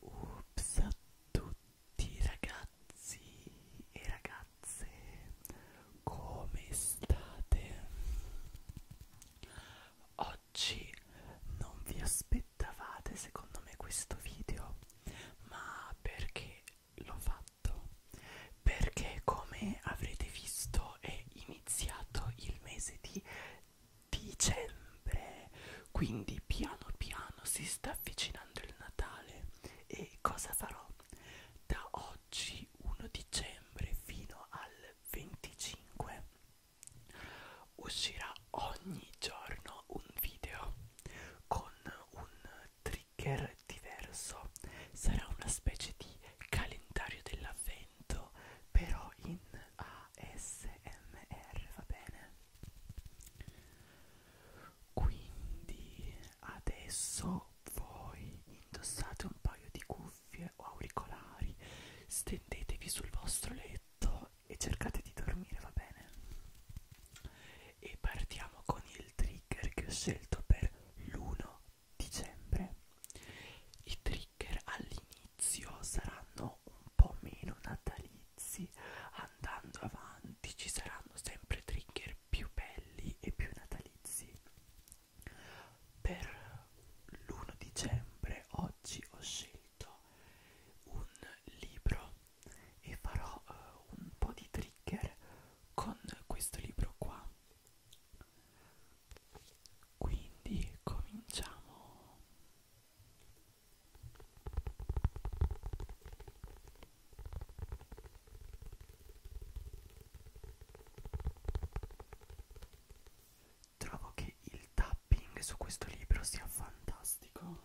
Ups a tutti ragazzi e ragazze, come state? Oggi non vi aspettavate secondo me questo video, ma perché l'ho fatto? Perché come avrete visto video è iniziato il mese di dicembre quindi piano piano si sta avvicinando il Natale e cosa farò? Da oggi 1 dicembre fino al 25 uscirà ogni giorno un video con un trigger diverso sarà una specie di calendario dell'avvento commento però in ASMR va bene quindi adesso voi indossate un paio di cuffie o auricolari stendetevi sul vostro letto e cercate di dormire va bene e partiamo con il trigger che ho scelto per l'uno dicembre i trigger all'inizio saranno un po' meno natalizi andando avanti ci saranno sempre trigger più belli e più natalizi per l'1 dicembre oggi ho scelto un libro e farò uh, un po' di trigger con questo libro qua quindi cominciamo Trovo che il tapping su questo libro sia fantastico.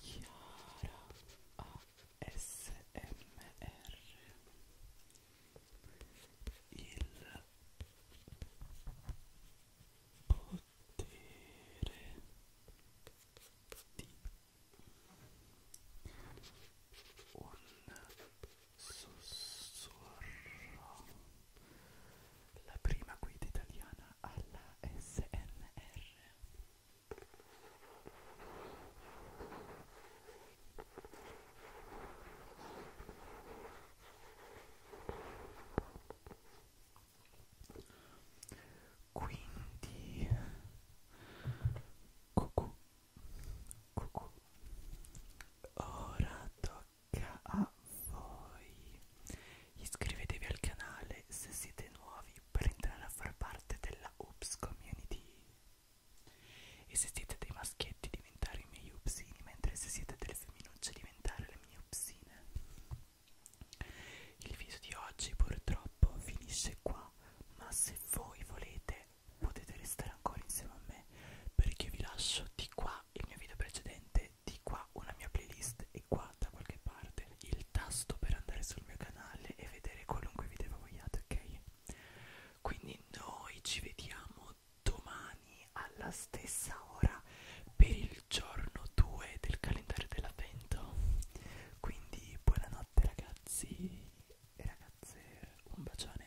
Chiara ASMR Il potere di un sussurro la prima guida italiana alla SNR quindi cucù, cucù. Ora tocca a voi Iscrivetevi al canale se siete nuovi per entrare a far parte della Oops Community e se siete dei maschietti diventare i miei upsini mentre se siete delle femminucce diventare le mie upsine. Il video di oggi purtroppo finisce qua, ma se voi volete potete restare ancora insieme a me perché vi lascio di qua il mio video precedente parte di qua una mia playlist e qua da qualche parte il tasto per andare sul mio canale e vedere qualunque video vogliate, ok? Quindi noi ci vediamo domani alla stessa ora per il giorno 2 del calendario dell'avvento. Quindi buonanotte ragazzi e ragazze, un bacione.